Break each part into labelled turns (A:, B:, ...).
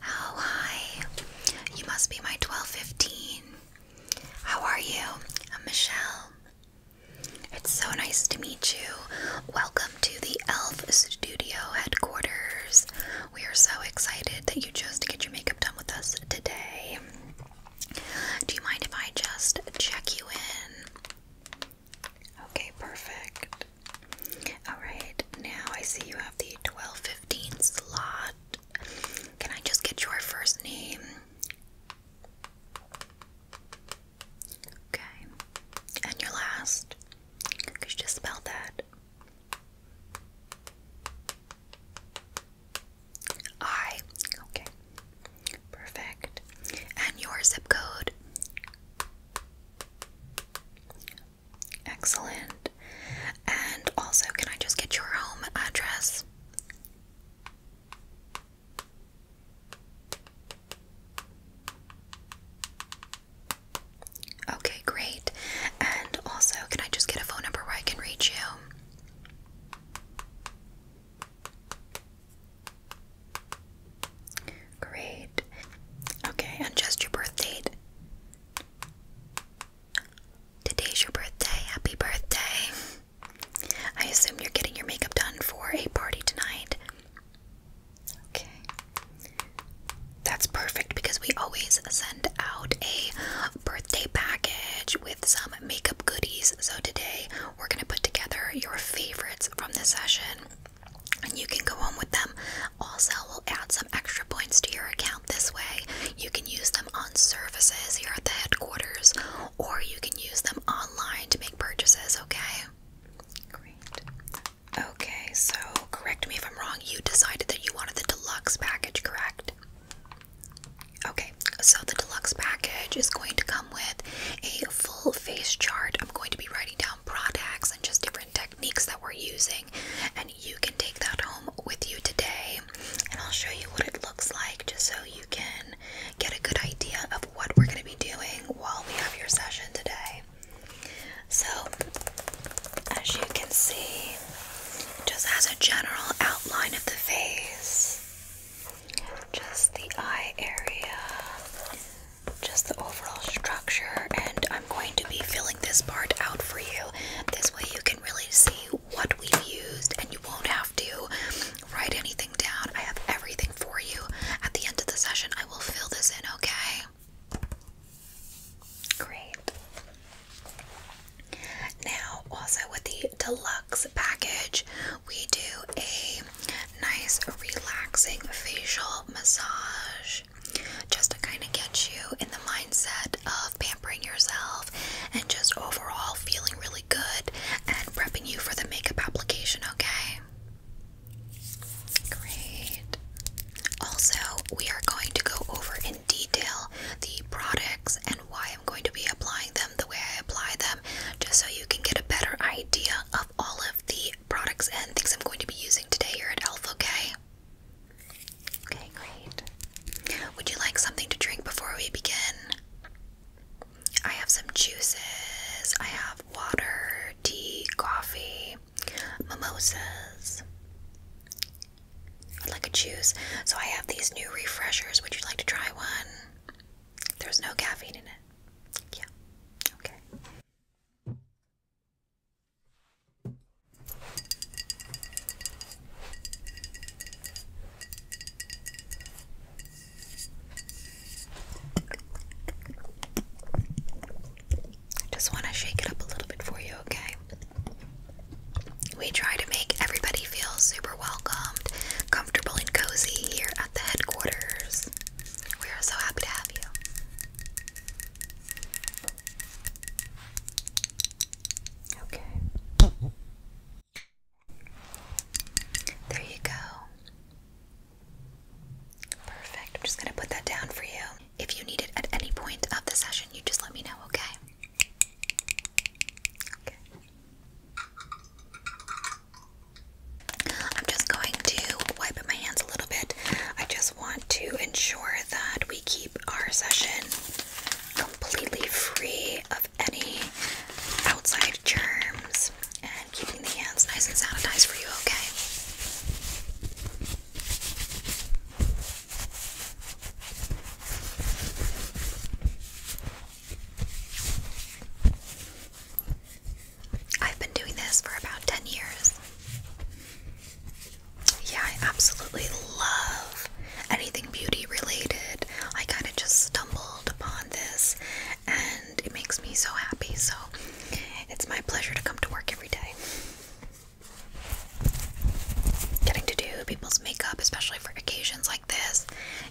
A: How hi. You must be my 1215. How are you? I'm Michelle. It's so nice to meet you. Welcome to the Elf Studio headquarters. We are so excited that you chose to get your makeup done with us today. Do you mind if I just check you in? Okay, perfect. Alright, now I see you have the 1215 slot. Can I just get your first name? Okay. And your last? Could you just spell that? I. Okay. Perfect. And your zip code? Excellent. And also, can I just get your home address? Okay, great. And also, can I just get a phone number where I can reach you? Great. Okay, and just your birth date. Today's your birthday. Happy birthday. I assume you're getting your makeup done for a party tonight. Okay. That's perfect because we always send out a birthday package with some makeup goodies. So today we're going to put together your favorites from the session and you can go on with them. Also, we'll add some extra points to your account this way. You can use them on services here at the headquarters, or you can use them online to make purchases, okay? Great. Okay, so correct me if I'm wrong, you decided that you wanted the deluxe package, correct? Okay, so the deluxe package is going to come with a full face chart. I'm going to be writing down products and just different techniques that we're using, and you can take that home with you today. And I'll show you what it looks like just so you can get a good idea of what we're going to be doing while we have your session today. So, as you can see, just as a general outline of the face, just the eye area, just the overall structure, and I'm going to be filling this part out for you. This way, you can really see what we've used, and you won't have to write anything down. I have everything for you. At the end of the session, I will fill this in, okay? Great. Now, also with the deluxe package, we do a nice relaxing facial massage just to kind of get you in the mindset of pampering yourself and just overall feeling really good and prepping you for the makeup application, okay? Great. Also, we are going to go over in detail the products and why I'm going to be applying them the way I apply them, just so you can get a better idea of all of the products and things I'm going to be using today here at Elf, okay? Okay, great. Would you like something to drink before we begin? I have some juices, I have water, tea, coffee, mimosas. I'd like a juice. So I have these new refreshers. Would you like to try one? There's no caffeine in it. Yeah. Okay. Just want to shake it up a little bit for you, okay? We try to make everybody feel super welcomed, comfortable, and cozy here at the headquarters. We are so happy to have you. Okay. There you go. Perfect. I'm just going to put that down for you. If you need it at any point of the session, you just let me know, okay? I'm just going to wipe my hands a little bit. I just want to ensure that we keep our session completely free of any outside germs and keeping the hands nice and sanitized for you, Okay, I've been doing this for about 10 years. Yeah, I absolutely love anything beauty related. I kind of just stumbled upon this and it makes me so happy. So it's my pleasure to come to work every day. Getting to do people's makeup, especially for occasions like this,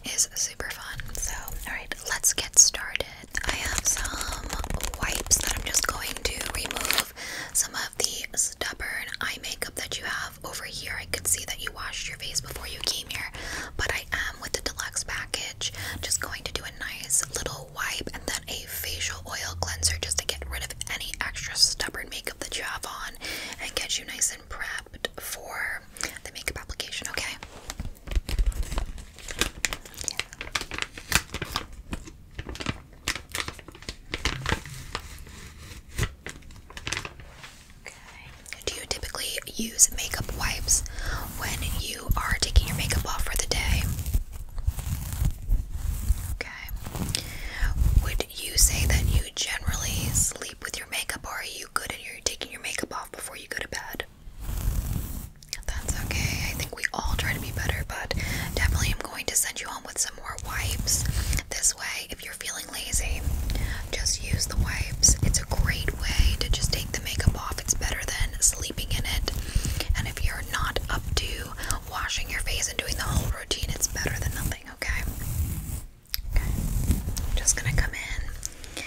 A: is super fun. So, alright, let's get started. I have some wipes that I'm just going to remove some of the stubborn eye makeup that you have over here. I could see that you washed your face before you came here, but I am with the deluxe package just going to do a nice little wipe and then a facial oil cleanser just to get rid of any extra stubborn makeup that you have on and get you nice and prepped for the makeup application, okay? Do you typically use makeup wipes when you are taking your makeup off for the day? Okay. Would you say that you generally sleep with your makeup or are you good at your taking your makeup off before you go to bed? That's okay. I think we all try to be better, but definitely I'm going to send you home with some more wipes. This way, if you're feeling lazy, just use the wipes. It's a great way to just take the makeup off. It's better than sleeping in it. And if you're not up to washing your face and doing the whole routine, it's better than nothing, okay? Okay. I'm just gonna come in.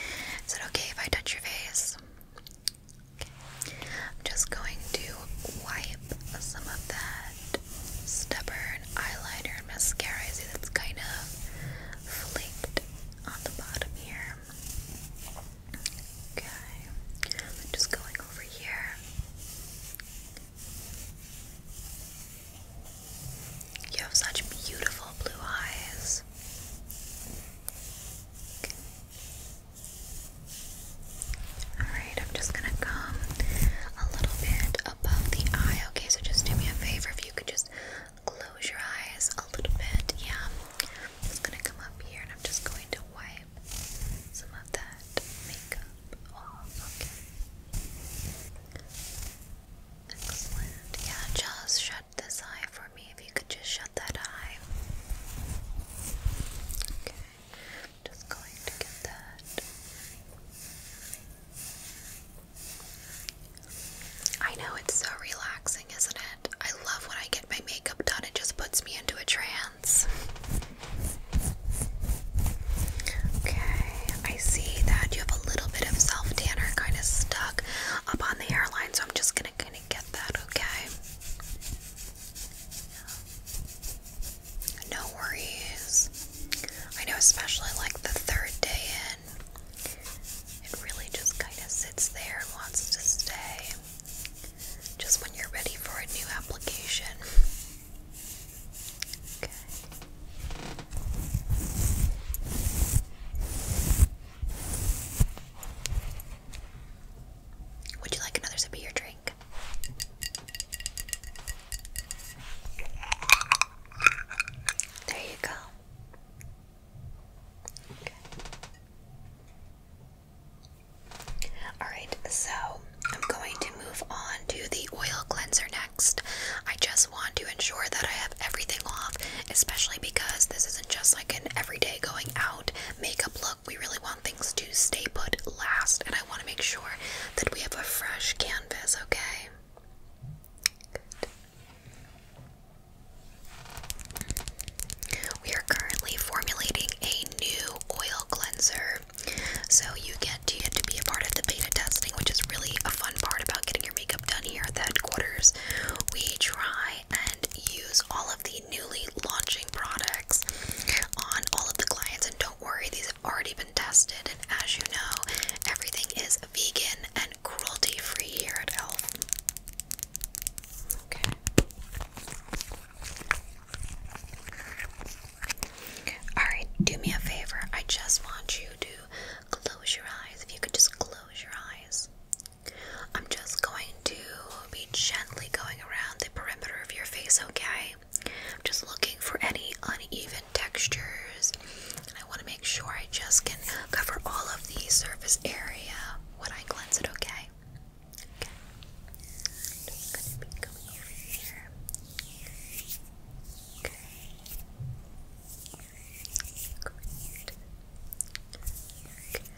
A: Is it okay if I touch your face? I'm just going to wipe some of that stubborn eyeliner and mascara. I see that's kind of flaked on the bottom here. Okay. I'm just going over here. You have such beautiful blue eyes. Alright, I'm just gonna come a little bit above the eye, okay? So just do me a favor if you could just close your eyes a little bit, yeah? I'm just gonna come up here and I'm just going to wipe some of that makeup off, okay? Excellent. Yeah, just shut this eye for if you could just shut that eye. Okay, i just going to get that. I know it's so relaxing, isn't it? I love when I get my makeup done, it just puts me into a trance. Okay, I see that you have a little bit of self tanner kind of stuck up on the hairline, so I'm just gonna kind of get that, okay? No worries. I know, especially like the third day in, it really just kind of sits there and wants to stay. Just when you're ready for a new application. Would you like another sip of your drink? There you go. Alright, so I'm going to move on to the oil cleanser next. I just want to ensure that I have everything off, especially because this is just like an everyday going out makeup look. We really want things to stay put last, and I want to make sure that we have a fresh canvas, okay? We are currently formulating a new oil cleanser. So you get to get to be a part of the beta testing, which is really a fun part about getting your makeup done here at the headquarters. We try and use all of the newly launching products on all of the clients. And don't worry, these have already been tested. And as you know, everything is vegan and cruelty free here at Elf. Okay. Alright, do me a favor. I just want you to close your eyes. If you could just close your eyes. I'm just going to be gently going around the perimeter of your face, okay? I'm just looking for any uneven textures. And I want to make sure I just can cover all of the surface area when I cleanse it, okay? I'm just going to be going over here. Okay. Great. Okay.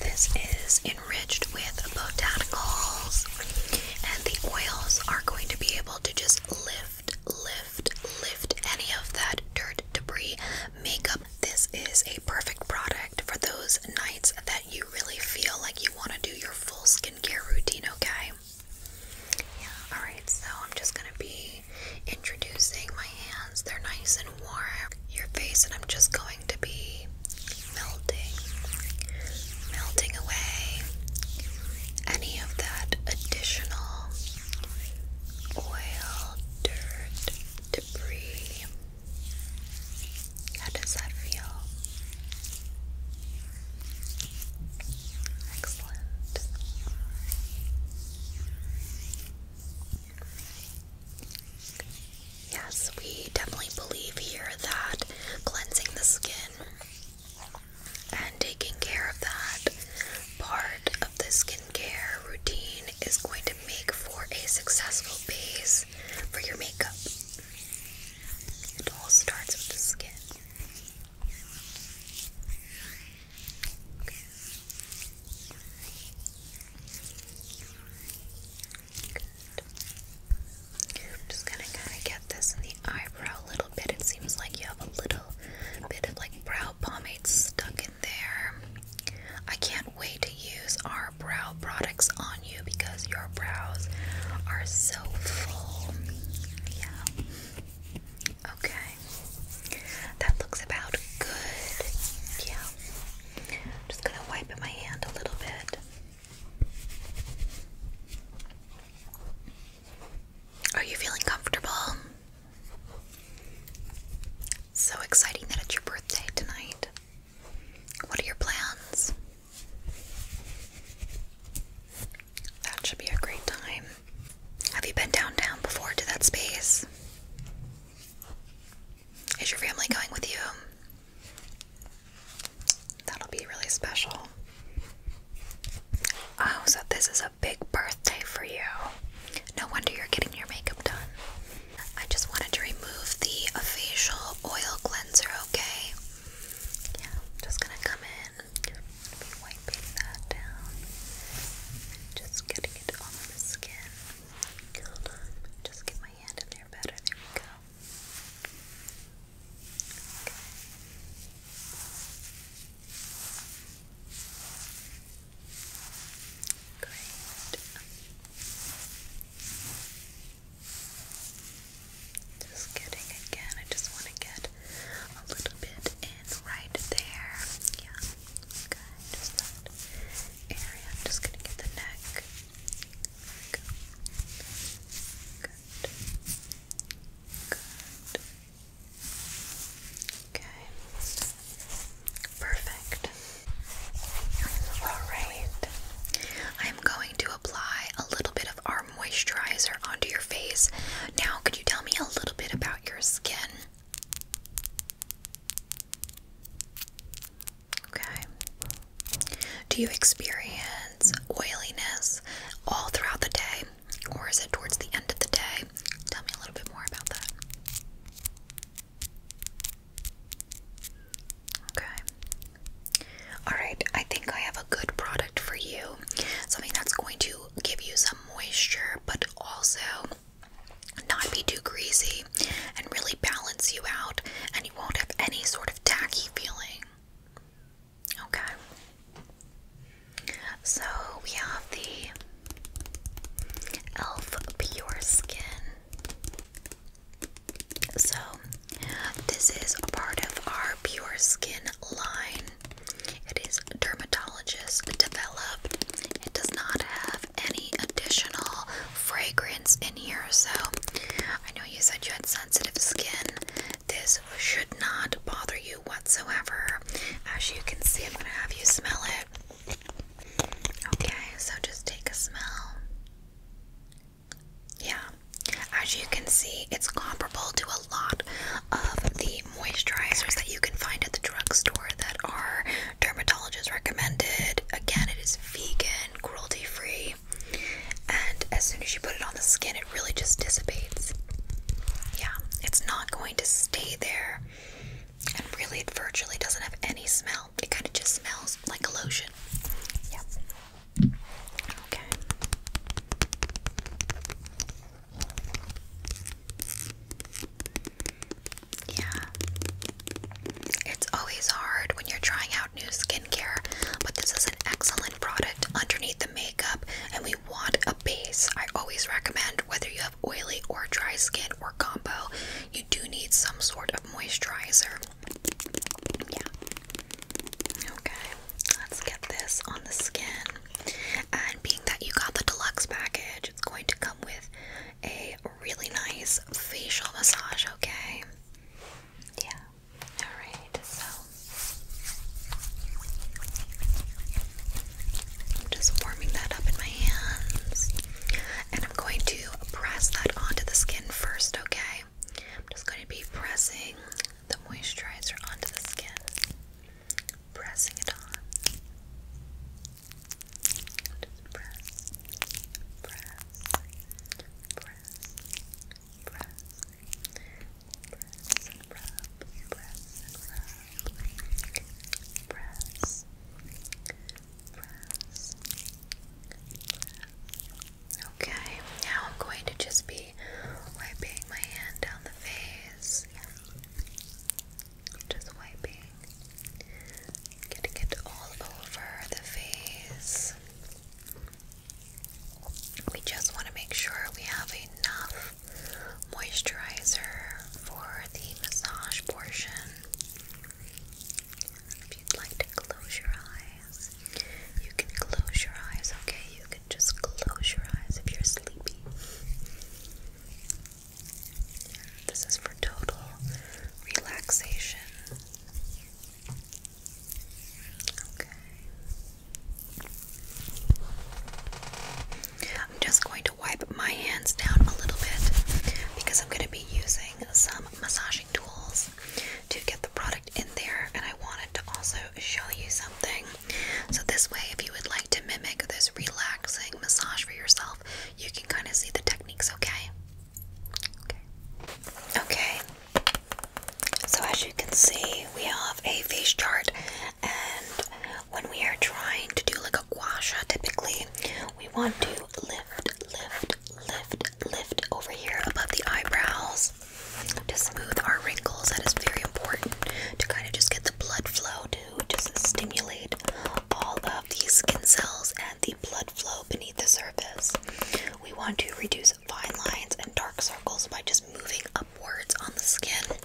A: This is enriched with botanicals, and the oils are going to be able to just lift, lift, lift any of that dirt, debris, makeup. This is a perfect product for those nights that you really feel like you want to do your full skincare routine, okay? Yeah, alright, so I'm just gonna be introducing my hands. They're nice and warm. Your face, and I'm just going to be melting, melting away any of that additional oil, dirt, debris. How does that feel? Excellent. Yes, we definitely believe here that cleansing the skin and taking care of that part of the skincare routine is going to make for a successful base for your makeup. It all starts with the skin i just gonna kind of get this in the eyebrow a little bit. It seems like you have a little bit of like brow pomade stuck in there. I can't wait to use our brow products on you because your brows are so full. Yeah. Okay. That looks about good. Yeah. I'm just gonna wipe in my hand a little bit. Are you feeling comfortable? So exciting that it's your birthday tonight. What are your plans? That should be a great time. Have you been downtown before to that space? Is your family going with you? That'll be really special. Oh, so this is a big birthday for you. No wonder you're getting your makeup done. I just wanted to remove the facial oil cleanser, okay? Yeah, just gonna come in. be wiping that down. Just getting it on the skin just get my hand in there better. There we go. Great. Just getting again. I just want to get a little bit in right there. Yeah. Okay area. I'm just going to get the neck. Good. Good. Okay. Perfect. Alright. I'm going to apply a little bit of our moisturizer onto your face. Now, could you tell me a little bit about your skin? Okay. Do you experience oiliness all throughout the day, or is it towards the end of the day? Tell me a little bit more about that. Okay. Alright, I think I have a good product for you. Something that's going to give you some moisture, but also not be too greasy and really balance you out, and you won't have any sort of tacky feeling. Okay. So we have the e.l.f. Pure Skin. So this is a part of our Pure Skin line. It is dermatologist developed it does not have any additional fragrance in here, so I know you said you had sensitive skin. This should not bother you whatsoever. As you can see, I'm going to have you smell it. Okay, so just take a smell. Yeah, as you can see, it's comparable to a lot of the moisturizers that you can find at the drugstore that are Dermatologist recommended. Again, it is vegan, cruelty free, and as soon as you put it on the skin, it really just dissipates. Yeah, it's not going to stay there, and really, it virtually doesn't have any smell. It kind of just smells like a lotion. Yep. Okay. Yeah. It's always hard when you're trying out new skincare, but this is an excellent product underneath the makeup, and we want a base. I always recommend whether you have oily or dry skin or combo, you do need some sort of moisturizer. Yeah. Okay, let's get this on the skin. And being that you got the deluxe package, it's going to come with a really nice facial massage, okay? Yeah. Alright, so I'm just warming that up in my hands. And I'm going to press that onto the skin first, okay? I'm just going to be pressing the moisturizer onto the skin. Pressing it on. Okay, now I'm going to just be wiping my hand down the face. Just wiping Getting it all over the face. We just want to make sure we have enough moisturizer for the massage portion. If you'd like to close your eyes, you can close your eyes, okay? You can just close your eyes if you're sleepy. This is for total relaxation. I'm just going to wipe my hands down a little bit because I'm going to be using some massaging tools to get the product in there, and I wanted to also show you something. So, this way, if you would like to mimic this relaxing massage for yourself, you can kind of see the techniques, okay? Okay. So as you can see, we have a face chart, and when we are trying to do like a guasha, typically we want to lift, lift, lift, lift over here above the eyebrows to smooth our wrinkles. That is very important to kind of just get the blood flow to just stimulate all of these skin cells the blood flow beneath the surface. We want to reduce fine lines and dark circles by just moving upwards on the skin,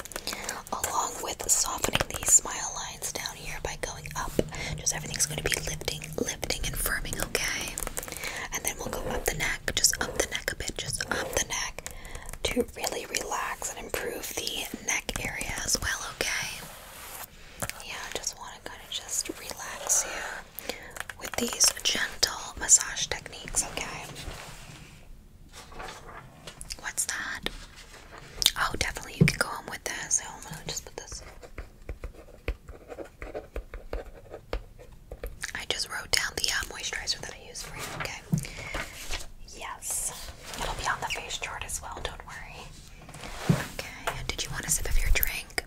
A: along with softening these smile lines down here by going up. Just everything's going to be lifting, lifting, and firming, okay? And then we'll go up the neck, just up the neck a bit, just up the neck to really relax and improve the neck area as well, okay? Yeah, I just want to kind of just relax here with these gentle massage techniques, okay? What's that? Oh, definitely you can go home with this. just put this. I just wrote down the uh, moisturizer that I use for you, okay? Yes. It'll be on the face chart as well, don't worry. Okay, did you want a sip of your drink?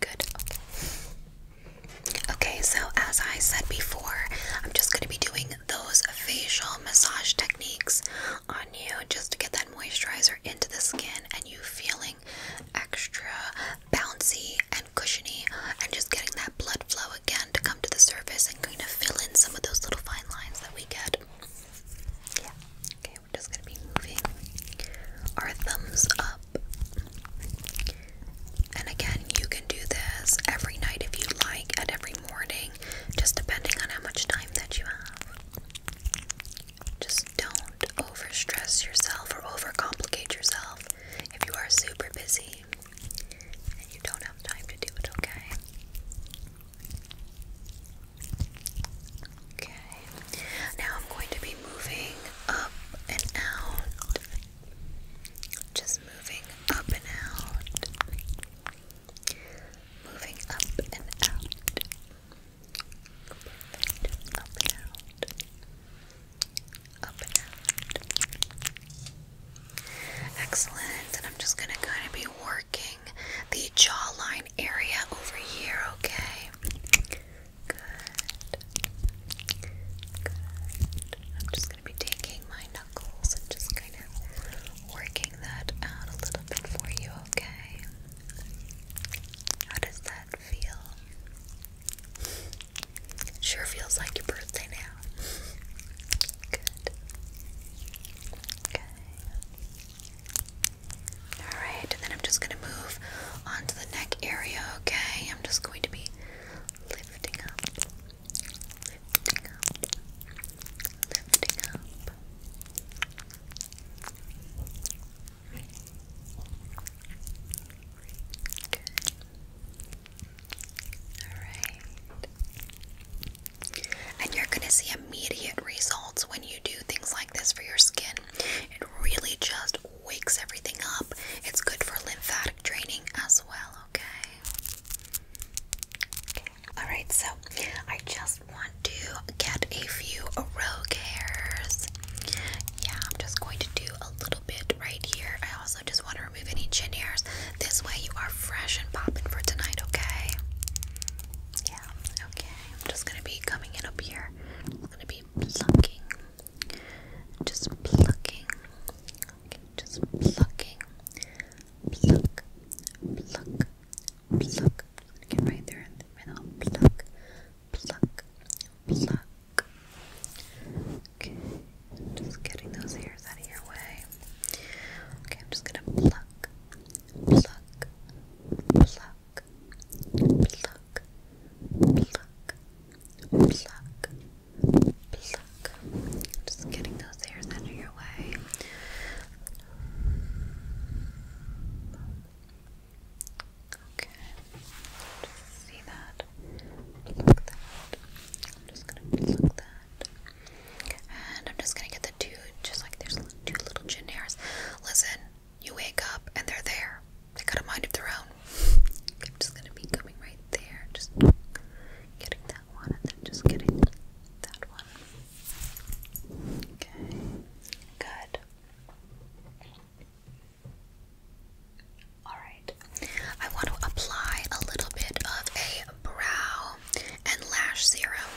A: Good, okay. Okay, so as I said before, I'm just going to be doing those facial massage techniques on you just to get that moisturizer into the skin and you feeling extra bouncy and cushiony and just getting that blood flow again to come to the surface and kind of fill in some of those little fine lines that we get. Yeah, okay we're just gonna be moving our thumbs up. And again, you can do this every night if you like, and every morning, just depending on how much time that you have. Just don't overstress yourself or overcomplicate yourself if you are super busy and you don't have time to do it, okay? Okay, now I'm going to be moving up and out. Just moving up and out. Moving up and out. Up and out. Up and out. Excellent. And I'm just going to kind of be working the jawline area over here, okay? Good. Good. I'm just going to be taking my knuckles and just kind of working that out a little bit for you, okay? How does that feel? Sure feels like your birthday now. Good. Okay. Alright, and then I'm just going to move onto the neck area, okay? I'm just going to be lifting up, lifting up, lifting up. Good. Alright. And you're going to see immediate results when you do things like this for your skin. It really just wakes everything up. It's good for lymphatic draining as well, Okay. Alright, so I just want to get a few rogue hairs. Yeah, I'm just going to do a little bit right here. I also just want to remove any chin hairs. This way you are fresh and popping for tonight, okay? Yeah, okay. I'm just gonna be coming in up here. I'm gonna be plucking, just plucking, okay, just plucking, pluck, pluck, pluck. Just gonna get right there and right now pluck, pluck, pluck. Okay, just getting those hairs out of your way. Okay, I'm just gonna pluck, pluck, pluck. Just getting those hairs out your way. Okay. see that. Pluck that. I'm just gonna pluck that. And I'm just gonna get the two, just like there's two little chin hairs. Listen, you wake up and they're there. They got a mind of their own. I'm just gonna be coming right there, just getting that one and then just getting that one. Okay, good. Alright, I want to apply a little bit of a brow and lash serum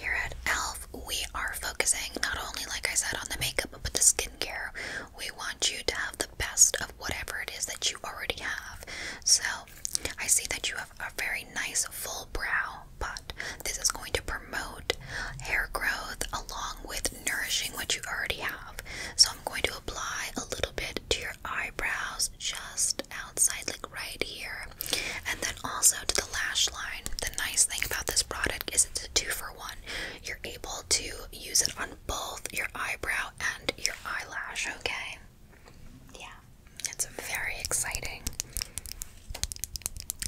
A: here at Elf we are focusing not only, like I said, on the makeup but the skincare. We want you to have the best of whatever it is that you already have. So, I see that you have a very nice full brow, but this is going to promote hair growth along with nourishing what you already have. So, I'm going to apply a little bit to your eyebrows just outside, like right here, and then also to the lash line the nice thing about this product is it's a two for one. You're able to use it on both your eyebrow and your eyelash, okay? Yeah, it's very exciting.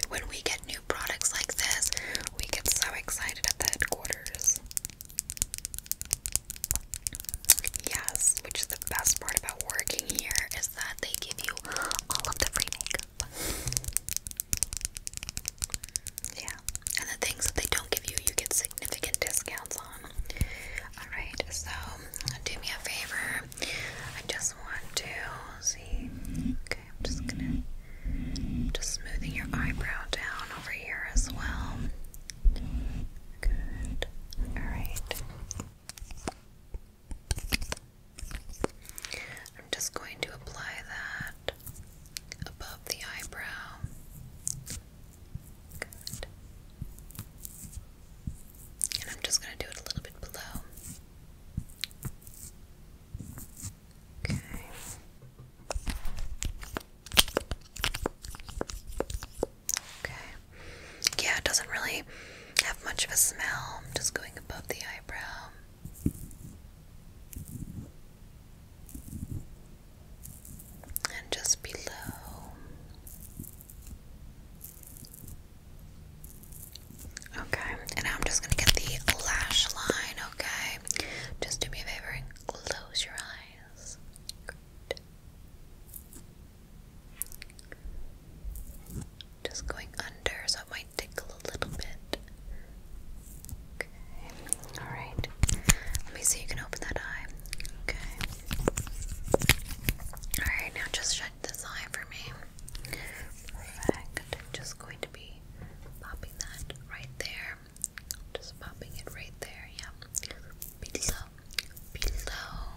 A: When we get new products like this, we get so excited at the headquarters. Yes, which is the best part about working here is that they give you all of the free makeup up. Yeah, and the things that they don't give you, you get significant discounts on. Alright, so do me a favor. I just want to see. Okay, I'm just gonna. Just smoothing your eyebrow down over here as well. Good. Alright. I'm just going to apply that above the eyebrow. Good. And I'm just going to do it a little bit below. Okay. Okay. Yeah, it doesn't really have much of a smell. just going above the eyebrow and just below. Okay, and I'm just gonna get the lash line, okay? Just do me a favor and close your eyes. Good just going under, so it might tickle a little bit. Okay, alright. Let me see, you can open that eye. Okay. Alright, now just shut this eye for me. Perfect. just going to be popping that right there. Just popping it right there, yeah. Below. Below.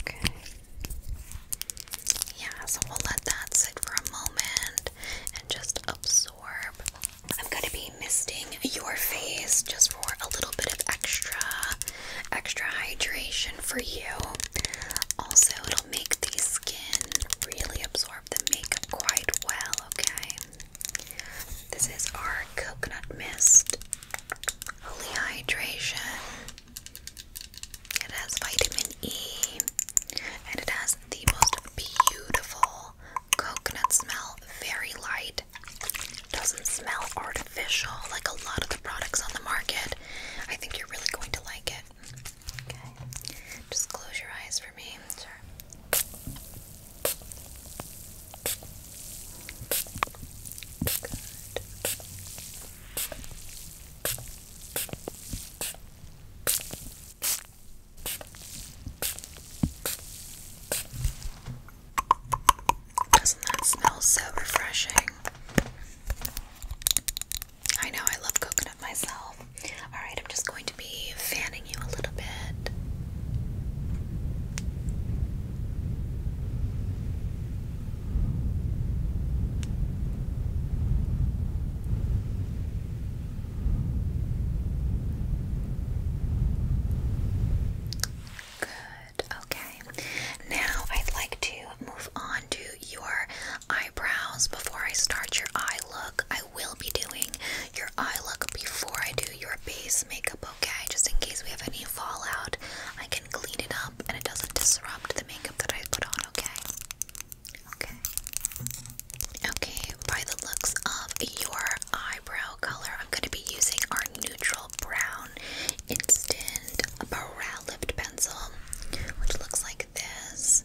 A: Okay. Yeah, so we'll let that sit for a moment and just absorb. I'm gonna be misting your face just for a little bit of extra extra hydration for you. Also, it'll make the skin really absorb the makeup quite well, okay? This is our coconut mist. Holy hydration. It has vitamin E and it has the most beautiful coconut smell, very light. Doesn't smell artificial like a lot of the products on the market. I think you're really going to like it. Okay, just close your eyes for me. Sure. Doesn't that smell so refreshing? I know, I love coconut myself. Alright, I'm just going to be fanning you a little bit. Good. Okay. Now I'd like to move on to your eyebrows. Before I start your eye look, I will be doing your eye look before I do your base makeup, okay? Just in case we have any fallout, I can clean it up and it doesn't disrupt the makeup that I put on, okay? Okay. Okay, by the looks of your eyebrow color, I'm going to be using our neutral brown instant brow lift pencil, which looks like this.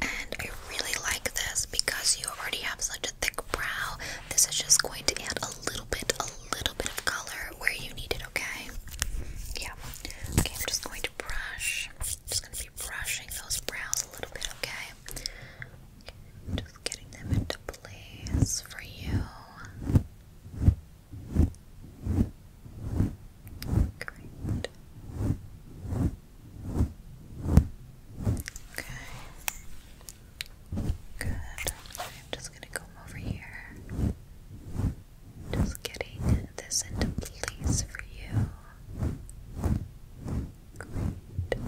A: And I really like this because you already have such a thick brow. This is just going to add a little bit, a little bit of color where you need it, okay? Yeah. Okay, I'm just going to brush just gonna be brushing those brows a little bit, okay? just getting them into place for you. Great. Okay. Good. I'm just gonna come over here. Just getting this into place for you. Great.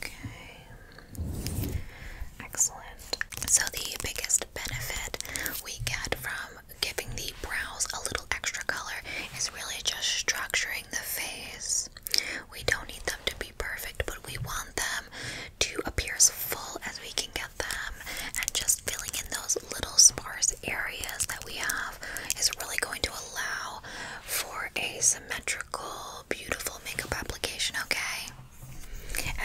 A: Okay. Excellent. So, the biggest benefit we get from giving the brows a little extra color is really just structuring the face. We don't need them to be perfect, but we want them to appear as full as we can get them and just filling in those little sparse areas that we have is really going to allow for a symmetrical, beautiful makeup application, okay?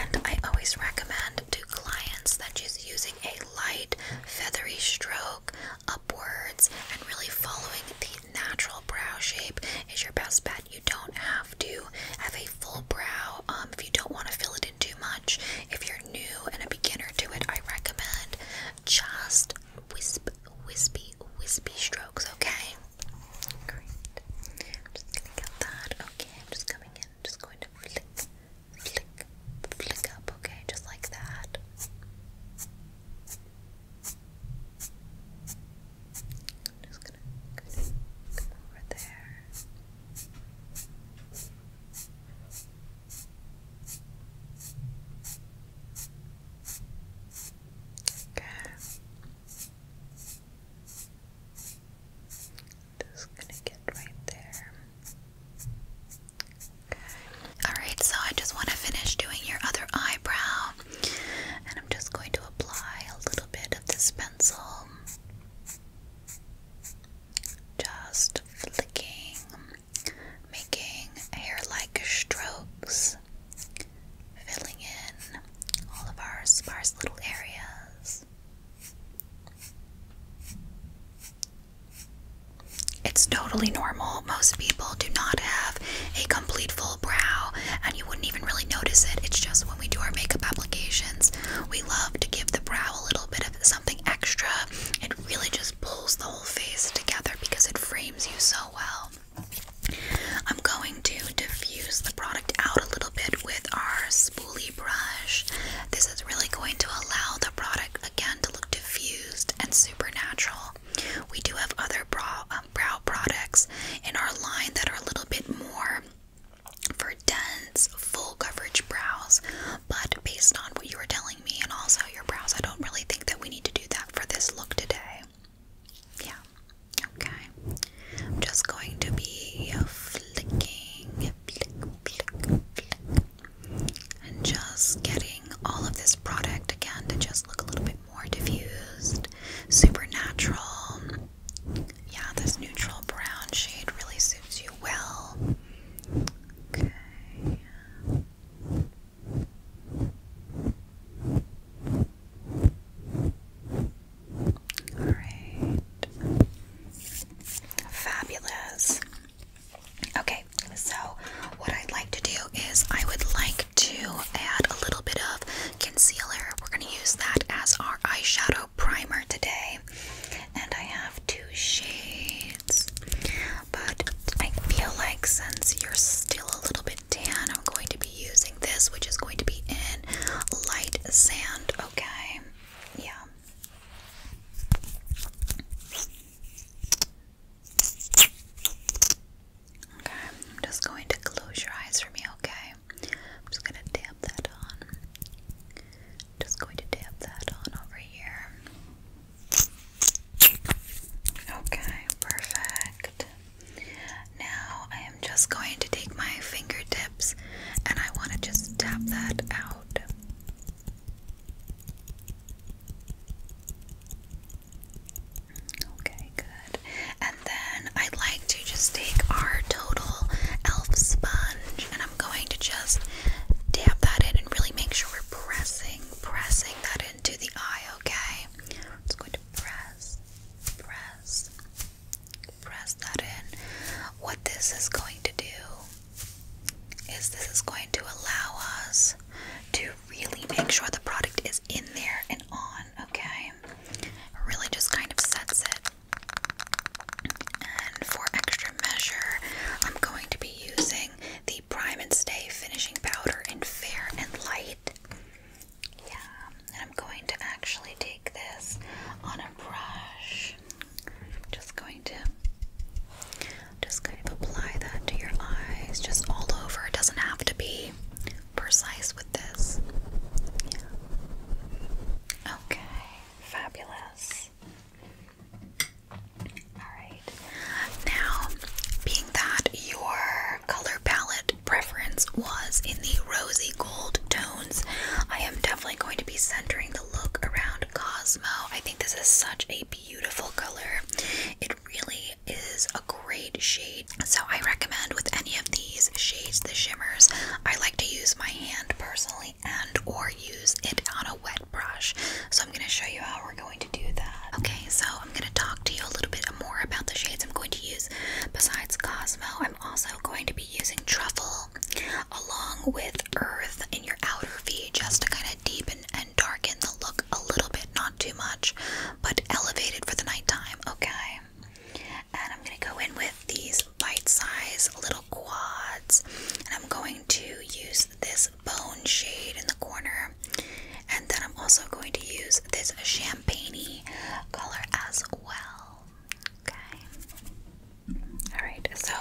A: And I always recommend to clients that she's using a light, feathery stroke upwards and really following the natural brow shape is your best bet. You don't have to have a full brow um, if you don't want to fill it in too much. If you're new and a beginner to it, I recommend just wisp, wispy, wispy strokes, okay? Great. just gonna get that. Okay, just coming in, just going to flick, flick, flick up, okay, just like that. just gonna come over there. Okay. Just gonna get right there. Alright, so I just want to finish doing your other eyebrow. And I'm just going to apply a little bit of this pencil just flicking, making hair like strokes, filling in all of our sparse little areas. It's totally normal. Most people do not have a complete full brow, and you wouldn't even really notice it. It's just when we do our makeup applications, we love to give the brow a little bit of something extra, it really just pulls the whole face together because it frames you so well. I'm going to diffuse the product out a little bit with our spoolie brush. This is really going to allow the product again to look diffused and supernatural. We do have other brow, um, brow products in our line that are a little bit more for dense, full coverage brows, but based on what you were telling me and also your brows, I don't really think that we need to do that for this look today. Yeah, okay. I'm just going to be flicking, and just getting all of this product again to just look a little bit more diffused, supernatural. Yeah, this neutral brown shade really suits you well. Okay. All right. Fabulous. Okay, so what I'd like to do is I would like to add a little bit of concealer. We're going to use that as our eyeshadow primer today, and I have two shades. But I feel like since you're still a little bit tan, I'm going to be using this, which is going to be in light sand. Okay, yeah. Okay, I'm just going to close your eyes for me, okay? I'm just going to dab that on. Just going to dab that on over here. Okay, perfect. Now I am just going to take my fingertips and I want to just tap that out. Okay, good. And then I'd like to just take our total elf sponge and I'm going to just dab that in and really make sure we're pressing, pressing that into the eye, okay? i going to press, press, press that in. What this is going to do is this is going to allow us to really make sure the product is in there and on, okay? Really just kind of sets it. And for extra measure, I'm going to be using the Prime and Stay finishing powder in Fair and Light. Yeah, and I'm going to actually take this on a brush. just going to just kind of apply that to your eyes, just all over. It doesn't have to be precise with this. Yeah. Okay, fabulous. Alright. Now, being that your color palette preference was in the rosy gold tones, I am definitely going to be centering the look around Cosmo. I think this is such a beautiful color. It really is a great shade. So, I recommend with any of these shades, the shimmers, I like to use my hand personally and or use it on a wet brush. So I'm going to show you how we're going to do that. Okay, so I'm going to talk to you a little bit more about the shades I'm going to use. Besides Cosmo, I'm also going to be using Truffle along with Earth in your outer V just to kind of deepen and darken the look a little bit, not too much, but elevated for the nighttime, okay? And I'm going to go in with these bite size little quads. And I'm going to use this bone shade in the corner. And then I'm also going to use this champagne color as well. Okay. Alright, so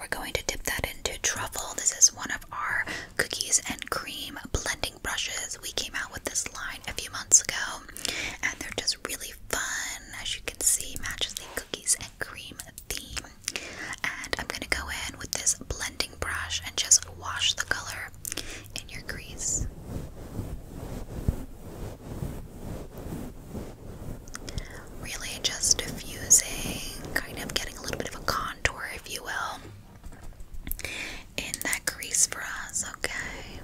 A: we're going to dip that into truffle. This is one of our cookies and cream blending brushes. We came out with this line a few months ago, and they're just really fun. As you can see, matches the cookies and cream theme. And I'm going to go in with this blending brush and just wash the color in your crease. Really just diffusing, kind of getting a little bit of a contour, if you will, in that crease for us, okay?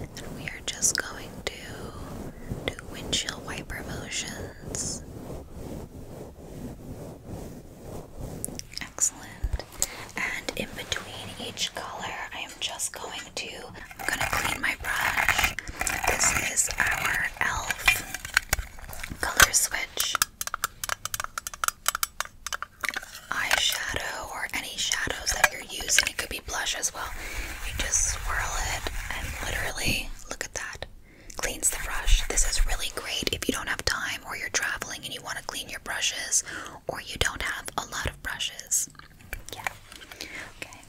A: And we are just going to do windshield wiper motions. Excellent. And in between each color, I am just going to I'm going to clean my brush. This is our e.l.f. color switch. Eyeshadow or any shadows that you're using, it could be blush as well. You just swirl it and literally look at that cleans the brush. This is really great if you don't have time or you're traveling and you want to clean your brushes or you don't have a lot of brushes. Yeah. Okay.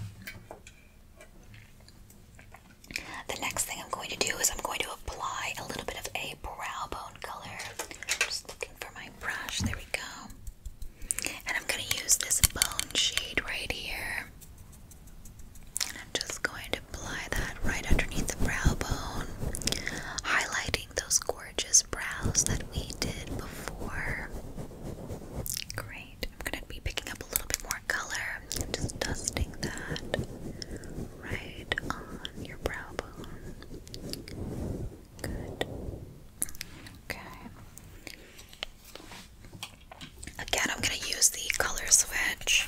A: The next thing I'm going to do is I'm going to apply a little bit of a brow bone color. just looking for my brush. There we go. And I'm going to use this bone shade right here. And I'm just going to apply that right underneath the brow bone, highlighting those gorgeous brows that we did before. Great. I'm going to be picking up a little bit more color. and just dusting that right on your brow bone. Good. Okay. Again, I'm going to use the color switch.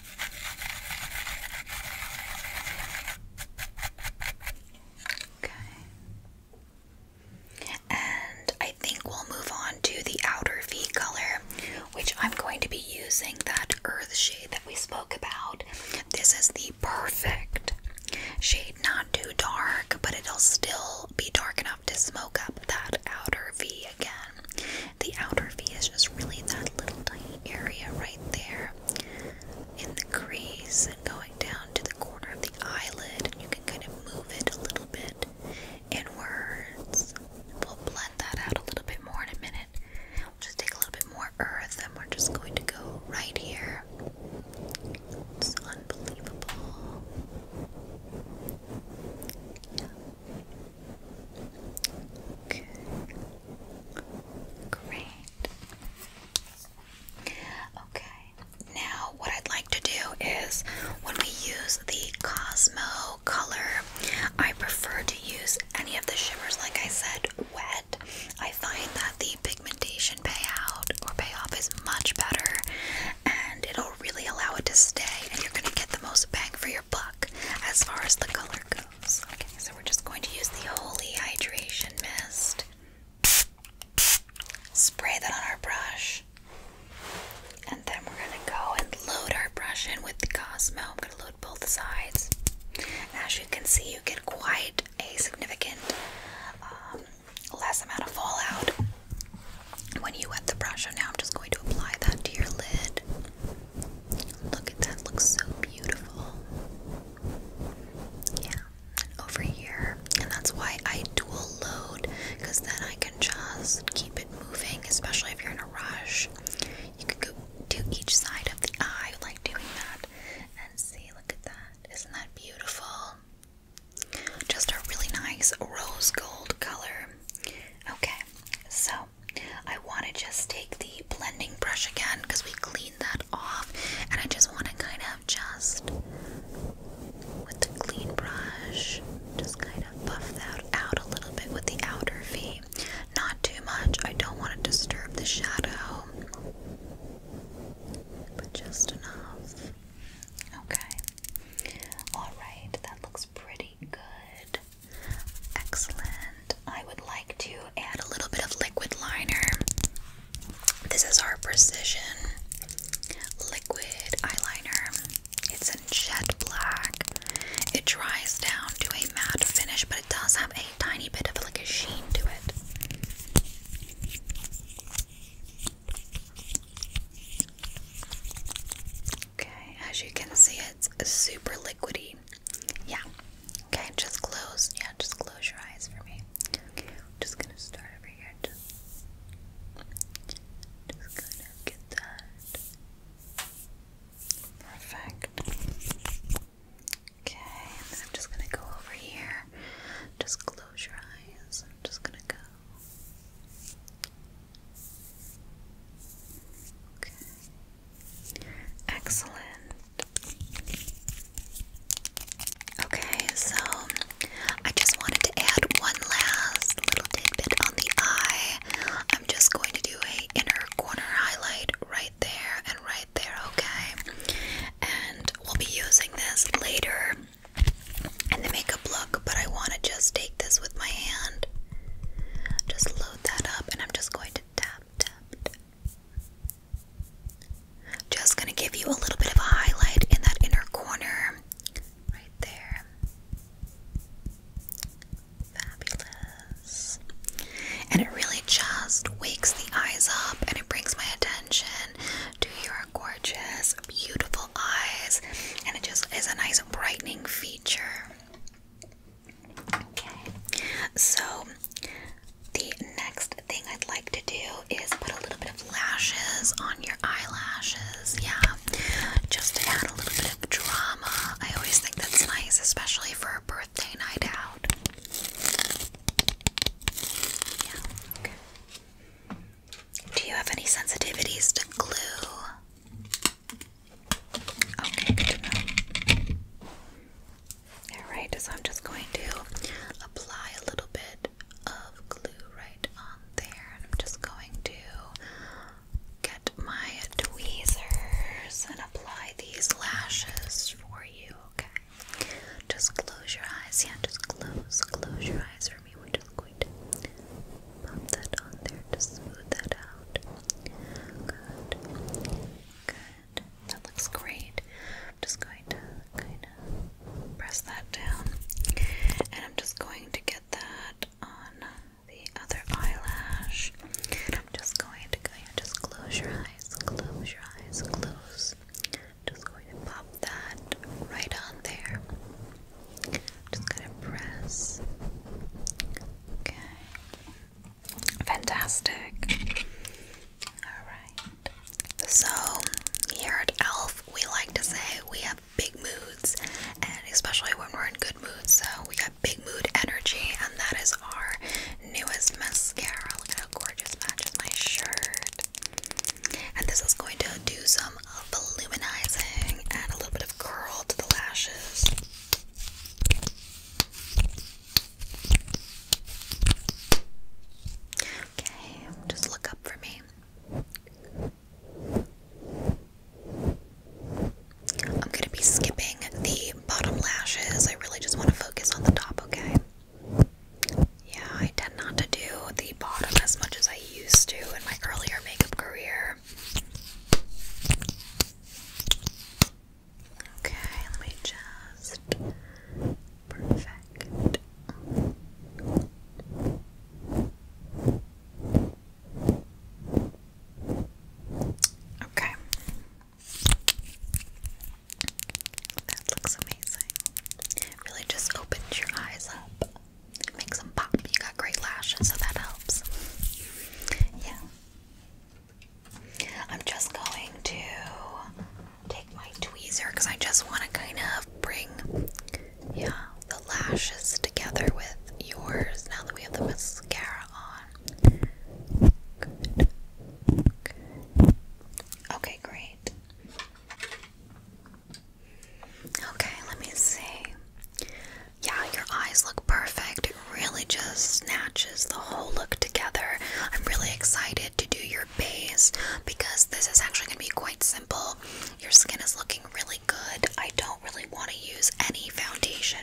A: Okay. And I think we'll move on to the outer V color, which I'm going to be using that earth shade that we spoke about. This is the perfect shade, not too dark, but it'll still be dark enough to smoke up that outer V again. The outer V is just really that little tiny area right there in the crease and going down to the corner of the eyelid. And you can kind of move it a little bit inwards. We'll blend that out a little bit more in a minute. We'll just take a little bit more earth and we're just going to go right here. It's unbelievable. Great. Okay. Now, what I'd like to do is when we use the Cosmo color, I prefer to use any of the shimmers, like I said, wet. I find that the pigmentation payout or payoff is much better and it'll really allow it to stay, and you're going to get the most bang for your buck as far as the color goes. Okay, so we're just going to use the Holy Hydration Mist. Spray that on our brush. And then we're gonna go and load our brush in with the Cosmo. I'm gonna load both sides. as you can see, you get quite a significant um, less amount of fallout when you wet the brush, and now I'm just going to apply that to your lid. Look at that, looks so beautiful. Yeah, over here, and that's why I dual load because then I can just keep it moving, especially if you're in a rush. You could go to each side of the eye, like doing that, and see. Look at that, isn't that beautiful? Just a really nice rose gold color. Okay, so I want to just take the blending brush again because we cleaned that off and I just want to kind of just with the clean brush just kind of buff that out a little bit with the outer V not too much I don't want to disturb the shadow but just enough okay alright that looks pretty good Excellent. I would like to add a little bit of liquid liner. This is our Precision Liquid Eyeliner. It's in jet black. It dries down to a matte finish, but it does have a tiny bit of like a sheen to it. Okay, as you can see, it's super liquidy. Yeah. Okay, just close. Yeah, just close your eyes for me. Okay, I'm just gonna start over here. Just, just gonna get that. Perfect. Okay, and then I'm just gonna go over here. Just close your eyes. I'm just gonna go. Okay. Excellent. Okay, so I just wanted to add one last little tidbit on the eye. I'm just going to do a inner corner highlight right there and right there, okay? And we'll be using this later in the makeup look, but I want to just take this with my hand. Just load that up and I'm just going to tap, tap. Just going to give you a little bit of a highlight in that inner corner. Right there. Fabulous. And it really just wakes the eyes up and it brings my attention to your gorgeous, beautiful eyes. And it just is a nice brightening feature so the next thing I'd like to do is put a little bit of lashes on your eyelashes, yeah, just to add a little bit of drama. I always think that's nice, especially for a birthday night out. Yeah, Do you have any sensitivities to glue? Okay, good to know. Alright, so I'm just going to apply a little bit of glue right on there. And I'm just going to get my tweezers and apply these lashes for you, okay? Just close your eyes. Yeah, just close, close your eyes for me. We're just going to Pop that on there to smooth that out. Good. Good. That looks great. I'm just going to kind of press that down. And I'm just going to get that on the other eyelash. I'm just going to kind of just close your eyes, close your eyes, close. just going to pop that right on there. just gonna press. Okay. Fantastic. Alright. So, here at ELF, we like to say we have big moods, and especially when we're in good moods. So, we got Big Mood Energy, and that is our newest mascara. Look how gorgeous matches my shirt. And this is going to do some voluminizing and a little bit of curl to the lashes. Okay, just look up for me. I'm gonna be skipping the bottom lashes. I really just want to focus on the top, okay? Yeah, I tend not to do the bottom as much as I used to in my earlier makeup career. Okay, let me just perfect. Okay. That looks amazing. Really just opens your eyes up. Makes them pop. You got great lashes, so that helps. Yeah. I'm just going to take my tweezer because I just want to kind of bring, yeah, the lashes together with yours now that we have the mascara on. Okay, great. Okay, let me see. Yeah, your eyes look perfect. It really just snatches the whole look together. I'm really excited to do your base because this is actually going to be quite simple. Your skin is looking really good. I don't really want to use any foundation.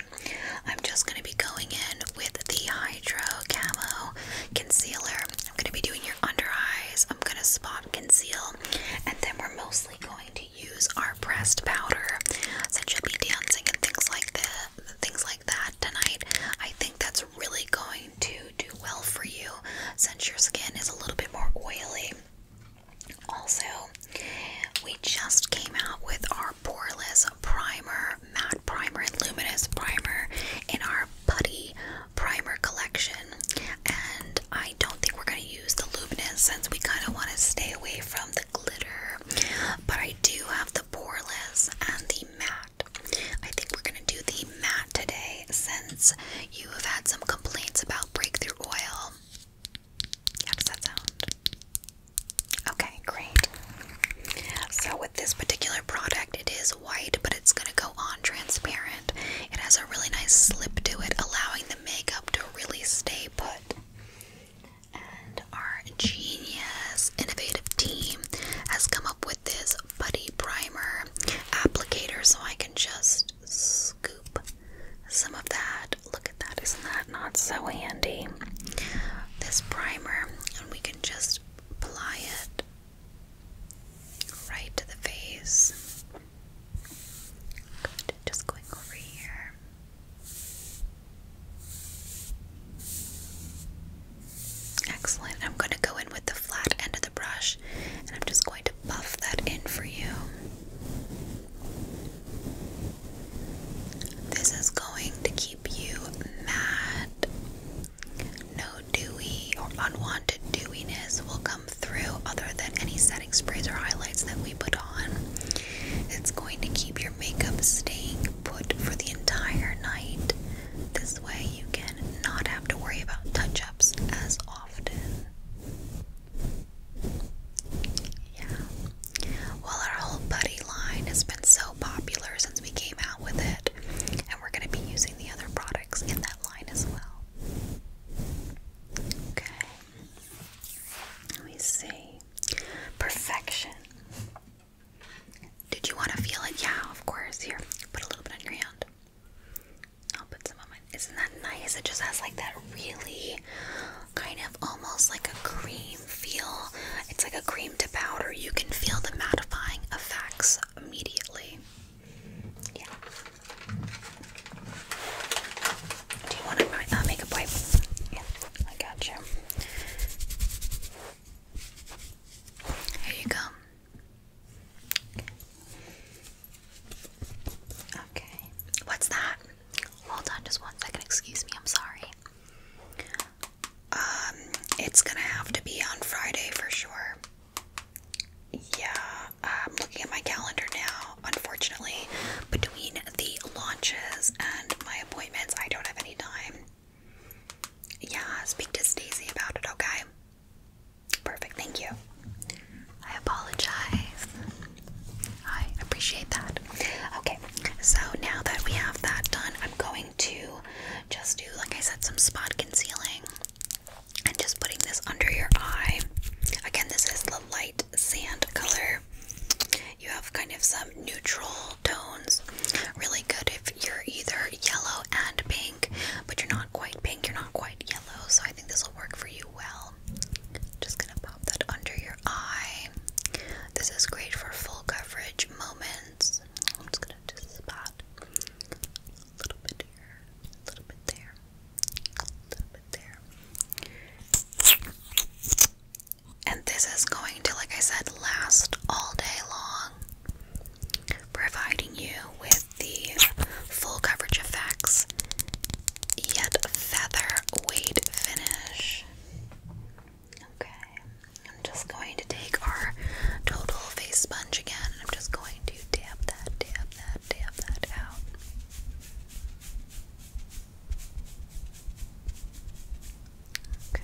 A: I'm just going to be going in with the Hydro Camo Concealer. I'm going to be doing your under eyes. I'm going to spot conceal, and then we're mostly going to use our pressed powder, since you'll be dancing and things like that, things like that tonight. I think that's really going to do well for you, since your skin is a little bit more oily. Also, we just came out with our poreless primer, matte primer, and luminous primer in our putty primer collection. And I don't think we're going to use the luminous since we kind of want to stay away from the glitter but I do have the poreless and the matte. I think we're gonna do the matte today since you have had some complaints about breakthrough oil. How does that sound? Okay, great. So, with this particular product, it is white, but it's gonna go on transparent. It has a really nice slip to it, allowing the makeup to really stay put. And our genius innovative team has come up with this buddy primer applicator so I can just scoop some of that. Look at that, isn't that not so handy? This primer, and we can just apply it right to the face. Good, just going over here. Excellent. I'm going to go in with the flat end of the brush and I'm just going to buff that in for you. This is going to keep you matte. No dewy or unwanted dewiness will come through other than any setting sprays or highlights that we put on. It's going to keep keep your makeup staying put for the entire night. This way, you can not have to worry about touch ups as often. Yeah. Well, our whole buddy line has been so popular since we came out with it, and we're going to be using the other products in that line as well. Okay. Let me see. Perfection. Did you want to feel it? Yeah, of course. Here, put a little bit on your hand. I'll put some on mine. Isn't that nice? It just has like that really kind of almost like a cream feel. It's like a cream to powder. You can feel the mattifying effects immediately. Yeah. Do you want to my uh, makeup wipe? Yeah, I got you. Here you go. Okay. What's that? Hold on just one second. Excuse me. I'm sorry. Um, it's gonna have to be on Friday for sure. Yeah, I'm looking at my calendar now. Unfortunately, between the launches and my appointments, I don't have any time. Yeah, speak to Stacy about it, okay? Perfect, thank you. I apologize. I appreciate that. Okay, so now that we have that done, I'm going to just do, like I said, some spot concealing and just putting this under your eye. Again, this is the light sand color. You have kind of some neutral tones. Really good if you're either yellow and pink, but you're not quite pink, you're not quite yellow. So I think this will work for you well. Just gonna pop that under your eye. This is great for full coverage moments. I'm just gonna just spot a little bit here, a little bit there, a little bit there. And this is going to, like I said, last all day long, providing you with the full coverage effects, yet featherweight finish. Okay, I'm just going to take our total face sponge again, and I'm just going to dab that, dab that, dab that out. Okay.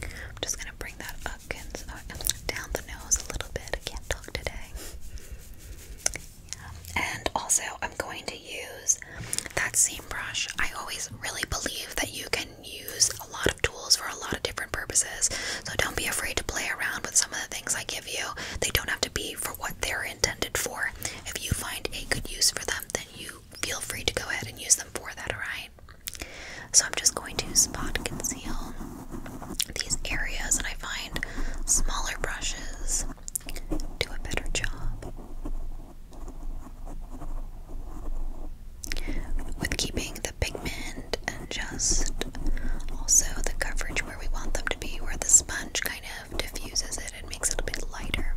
A: I'm just going to bring that up and down the nose a little bit. I can't talk today. And also, I'm going to use that same brush. I always really believe that you can use a lot of tools for a lot of different purposes. So don't be afraid to play around with some of the things I give they don't have to be for what they're intended for. If you find a good use for them, then you feel free to go ahead and use them for that, alright? So I'm just going to spot conceal these areas, and I find smaller brushes do a better job with keeping the pigment and just also the coverage where we want them to be, where the sponge kind of diffuses it and makes it a bit lighter.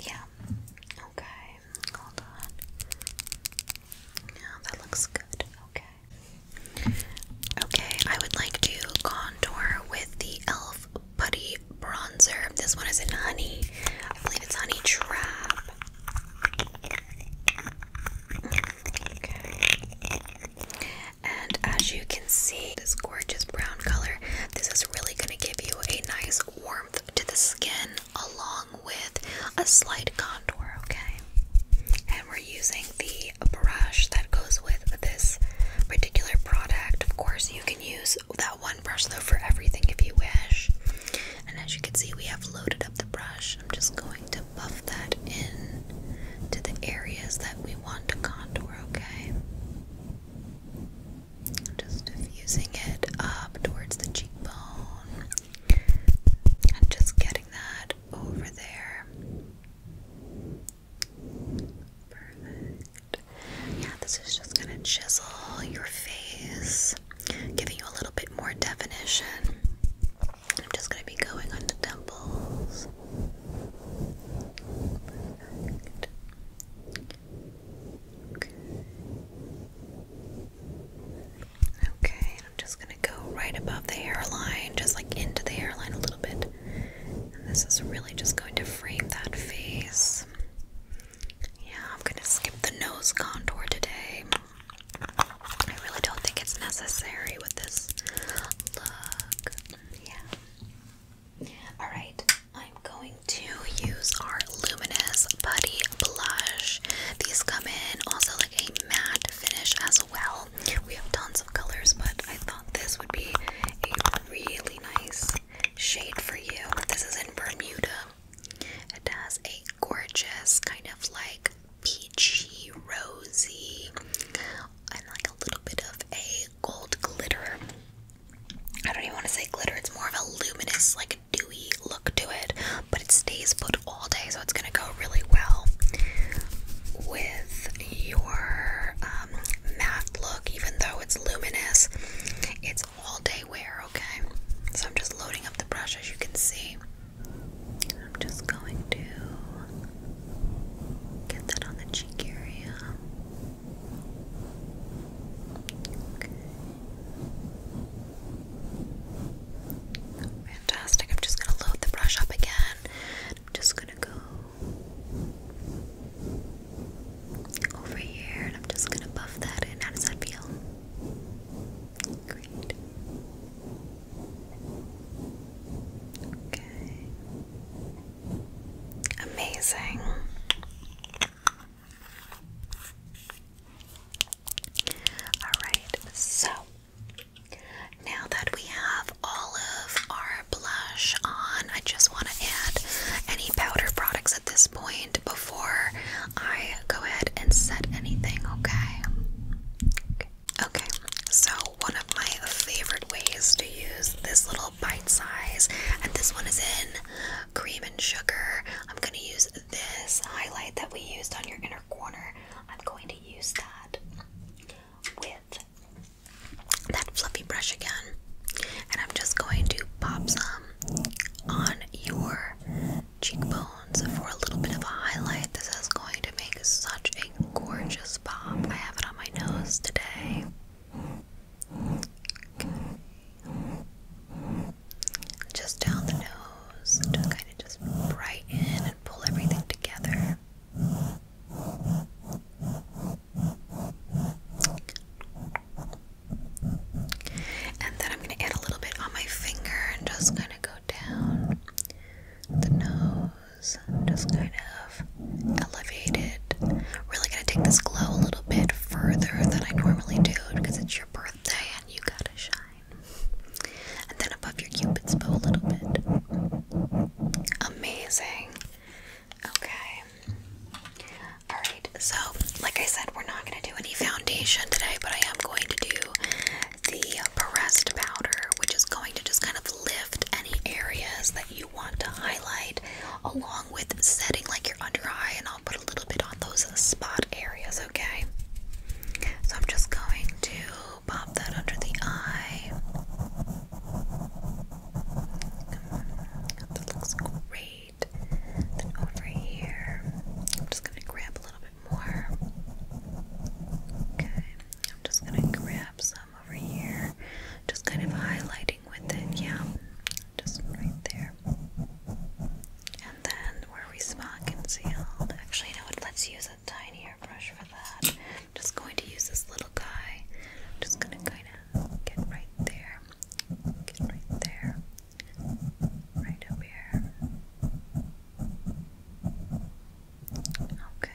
A: Yeah. Okay. Hold on. Yeah, that looks good. Okay. Okay, I would like to contour with the e.l.f. Putty Bronzer. This one is in Honey. I believe it's Honey Trap. And as you can see, this gorgeous brown color, this is really going to give you a nice warmth to the skin along with a slight contour, okay? And we're using the brush that goes with this particular product. Of course, you can use that one brush though for everything if you wish. And as you can see, we have loaded up the brush. I'm just going to buff that in to the areas that we want to contour, okay? Just diffusing it up towards the cheekbone and just getting that over there. Perfect. Yeah, this is just gonna chisel your face, giving you a little bit more definition. I'm just going to be going on the temples. Okay. I'm just gonna go right above the hairline, just like into the hairline a little bit. this is really just going to frame that face. Yeah, I'm gonna skip the nose contour today. I really don't think it's necessary with this look. Yeah. Alright, I'm going to use our Luminous Putty Blush. These come in also like a matte finish as well. We have tons of colors, but I thought this would be a really nice shade for you. This is in Bermuda. It has a gorgeous kind of like peachy, rosy, and like a little bit of a gold glitter. I don't even want to say glitter, it's more of a luminous, like dewy look to it, but it stays put all day, so it's gonna go really well with your um, matte look, even though it's luminous. It's all day wear, okay? So I'm just loading up the brush as you can see. I'm just going to get that on the cheek area. Fantastic. I'm just going to load the brush up again. I'm just going to go over here and I'm just going to buff that in. How does that feel? Great. Okay. Amazing. All right, so now that we have all of our blush on, I just want to add any powder products at this point before I go ahead and set anything, okay? Okay, so one of my favorite ways to use this little bite size, and this one is in cream and sugar. I'm going to use this highlight that we used on your inner corner. I'm going to use that with that fluffy brush again, and I'm just going to pop some on your cheekbones for a little bit of a highlight. This is going to make such a gorgeous pop. I have it on my nose today. Just down the nose to kind of just brighten and pull everything together. And then I'm going to add a little bit on my finger and just kind of go down the nose just kind of elevated. Really gonna take this glow a little bit further than I normally do because it's your birthday and you gotta shine. And then above your cupid's bow a little bit. Amazing. Okay. Alright, so like I said, we're not gonna do any foundation today, but I am going to do the pressed powder, which is going to just kind of lift any areas that you want to highlight, along with setting like your under eye. And I'll put a little bit on those spot areas, okay? So I'm just going to pop that under the eye. That looks great. Then over here, I'm just going to grab a little bit more. Okay. I'm just gonna grab some over here, just kind of highlighting with it, yeah, just right there. And then where we spot conceal. actually, you know what? Let's use a tinier brush for that. just going to use this little guy. just gonna kind of get right there, get right there, right up here. Okay.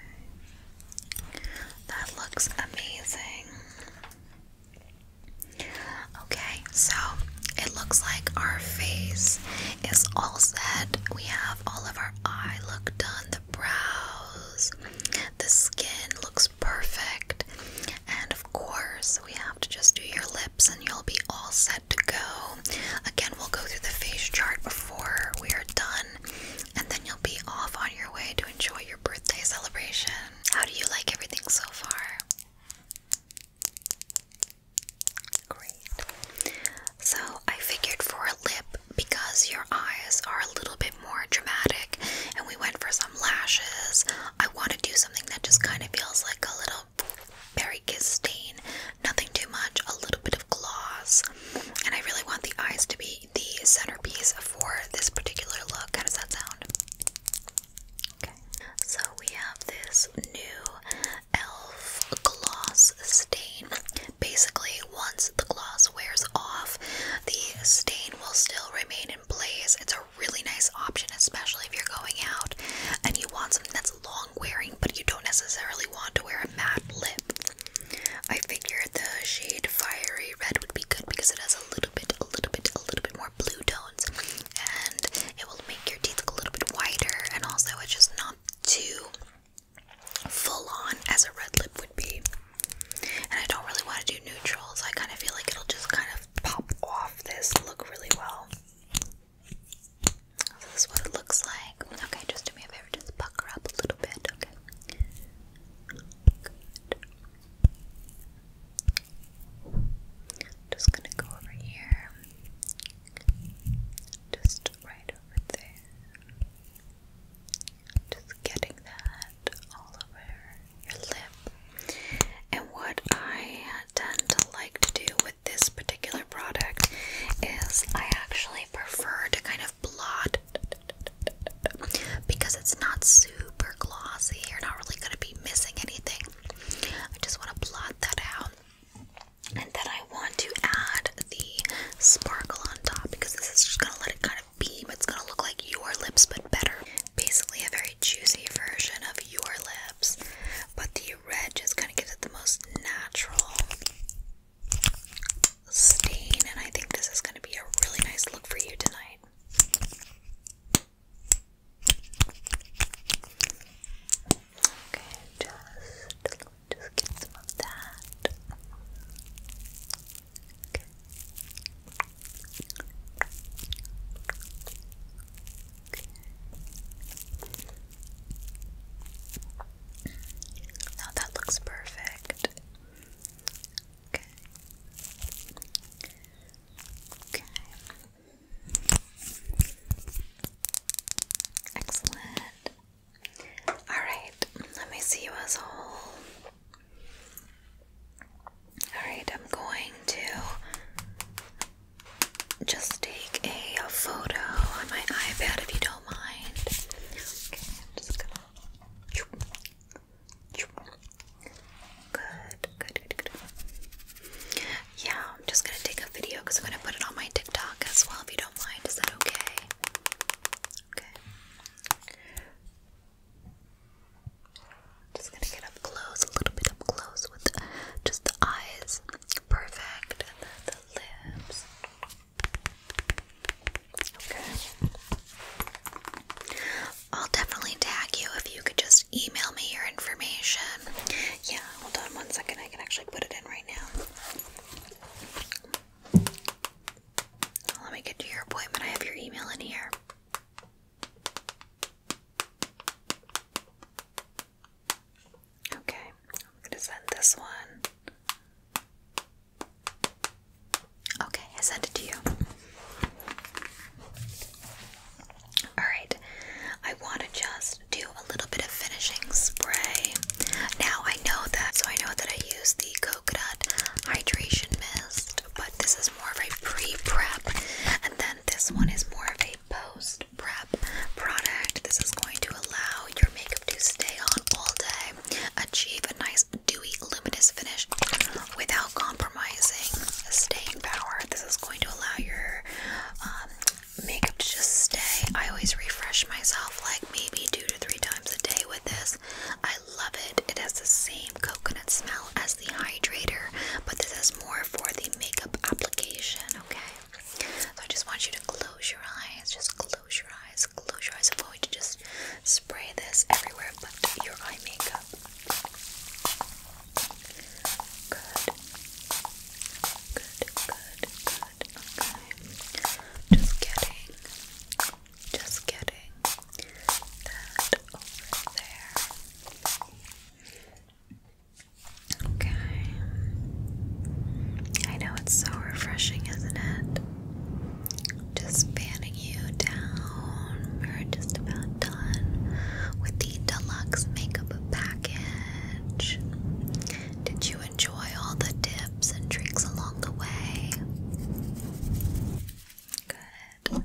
A: That looks amazing. Okay, so it looks like our face is all set. We have all of our eye look done, the brows, the skin looks perfect, and of course, we have to just do your lips and you'll be all set to go. Again, we'll go through the face chart before we are done, and then you'll be off on your way to enjoy your birthday celebration. How do you like everything so far? Great. So, I figured for a lip, because your eyes are a little bit more dramatic and we went for some lashes, I want to do something that just kind of feels like a little berry kiss stain. Nothing too much, a little bit of gloss, and I really want the eyes to be the centerpiece for this particular look. How does that sound? Okay. So we have this new e.l.f. gloss stain. Basically, once the gloss wears off, the stain will still remain in place. It's a really nice option, especially if you're going out and you want something that's long wearing, but you don't necessarily want to wear a matte lip. I figured the shade fiery red would be good because it has a little bit, a little bit, a little bit more blue tones, and it will make your teeth look a little bit whiter, and also it's just not too full on as a red lip would be. And I don't really want to do neutrals. I kind of feel like it'll just kind of pop off this look really well. this is what it looks like. Okay, just do me a favor, just pucker up a little bit. Just gonna go over here. Just right over there. Just getting that all over your lip. And what I tend to like to do with this particular product is I actually prefer to kind of blot because it's not super glossy. You're not really going to be missing anything. I just want to blot that out. And then I want to add the sparkle on top because this is just going to let it kind of beam. It's going to look like your lips, but better. Basically, a very juicy version of your lips, but the red just kind of gives it the most natural stain, and I think this is going to be a really nice look for you tonight. Okay, just, just get some of that. Okay. Okay. Now that looks perfect. Okay. Okay. Excellent. All right. Let me see you as a whole. All right. I'm going to just take a, photo on my iPad if you don't mind. Okay. Good, good, good, good. Yeah, I'm just gonna take a video because I'm gonna put it on my TikTok as well if you don't mind. Is that okay? Okay. Just gonna get up close, a little bit up close with just the eyes. Perfect. the lips. Okay. I'll definitely tag you if you could just email me your information. Yeah, hold on one second. I can actually put it in right now. Let me get to your appointment. I have your email in here. Okay, I'm going to send this one Okay, I sent it to you. Alright, I want to just do a little bit of finishing spray. Now I know that, so I know that I use the coconut hydration mist, but this is more of a pre prep, and then this one is more of a post prep product. This is going to allow your makeup to stay on all day, achieve a nice dewy, luminous finish without compromising staying power. This is going to allow your um, makeup to just stay. I always refresh myself like maybe two to three times a day with this. I love it. It has the same coconut smell as the hydrator, but this is more for the makeup application, okay? So I just want you to close your eyes, just close your eyes, close your eyes. I want you to just spray this everywhere but your eye makeup. Good. Good, good, good. Okay. Just getting, just getting that over there. Okay. I know it's so refreshing, isn't it? Just fanning you down. We're just about done with the deluxe makeup package. Did you enjoy all the tips and tricks along the way? Good.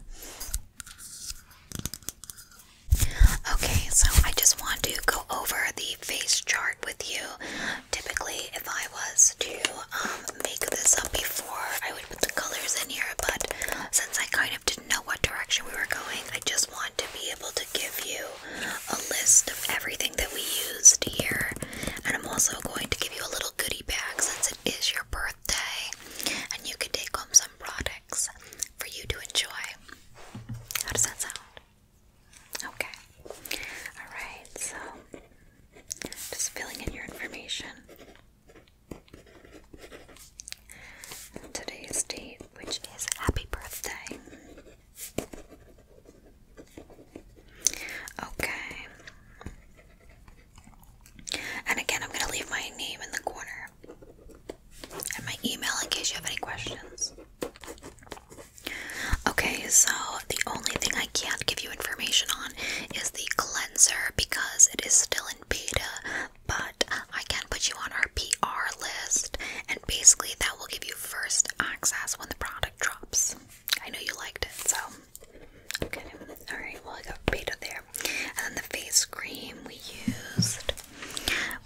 A: Okay, so I just want to go over the face chart with you. Typically, if I was to make this up before I would put the colors in here, but since I kind of didn't know what direction we were going, I just want to be able to give you a list of everything that we used here. And I'm also going to give you a little goody bag since it is your birthday and you can take home some products for you to enjoy. How does that sound? Okay. Alright, so just filling in your information. Today's date, which is happy birthday. Okay. And again, I'm going to leave my name in the corner and my email in case you have any questions. Okay, so the only thing I can't give you information on is the cleanser because it is still in beta, but I can put you on our PR list, and basically that will give you first access when the product drops. I know you liked it, so All right, well I got beta there, and then the face cream we used,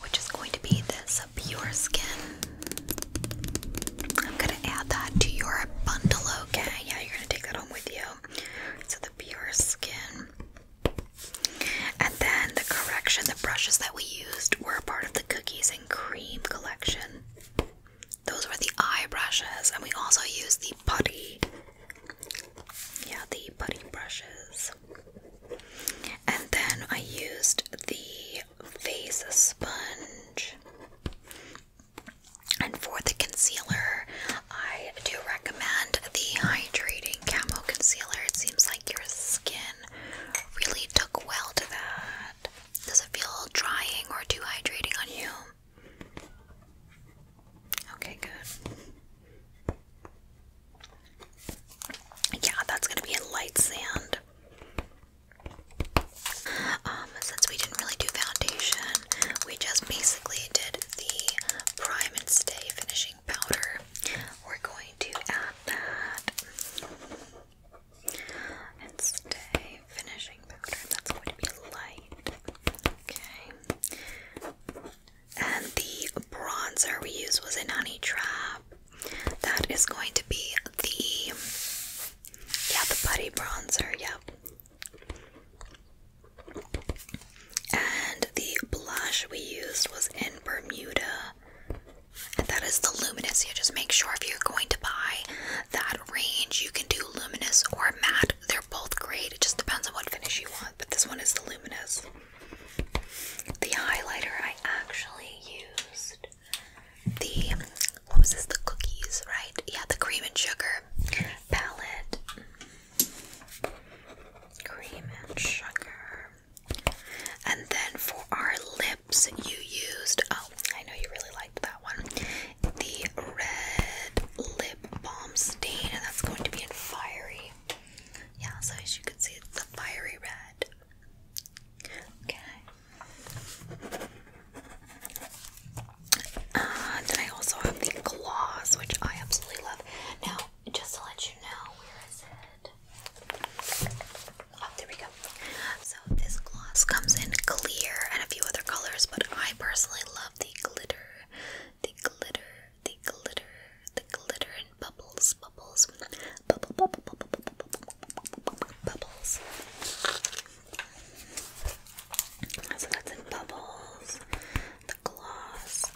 A: which is going to be this Pure Skin. I'm gonna add that to your bundle, okay? Yeah, you're gonna take that home with you. So the pure skin. And then the correction, the brushes that we used were part of the cookies and cream collection. Those were the eye brushes, and we also used the putty. Yeah, the putty brushes. And then I used the face sponge. And for the concealer, I do recommend the hydrating camo concealer. It seems like your skin really took well to that. Does it feel drying or too hydrating on you? Okay, good. Yeah, that's gonna be a light sand. Um, since we didn't really do foundation, we just basically did the prime and stay finishing powder. We're going to add that and stay finishing powder. That's going to be light. Okay. And the bronzer we used was a Honey Trap. That is going to be the yeah the putty bronzer. Yep. And the blush we used was in Bermuda. And that is the luminous. You just make sure if you're going to buy that range, you can do luminous or matte. They're both great. It just depends on what finish you want. But this one is the luminous. The highlighter I actually used the what was this? The cookies, right? Yeah, the cream and sugar palette, mm, cream and sugar. And then for our lips, you used, oh, I know you really liked that one, the red lip balm stain, and that's going to be in fiery. Yeah, so as you can see, it's the fiery red. Okay. Uh, then I also have the gloss, which I absolutely love. Now, just to let you know, where is it? Oh, there we go. So this gloss comes in clear and a few other colors, but I personally love the glitter, the glitter, the glitter, the glitter and bubbles, bubbles, bubble, bubble, bubble, bubble, bubble, bubble, bubble, bubbles. So that's in bubbles, the gloss.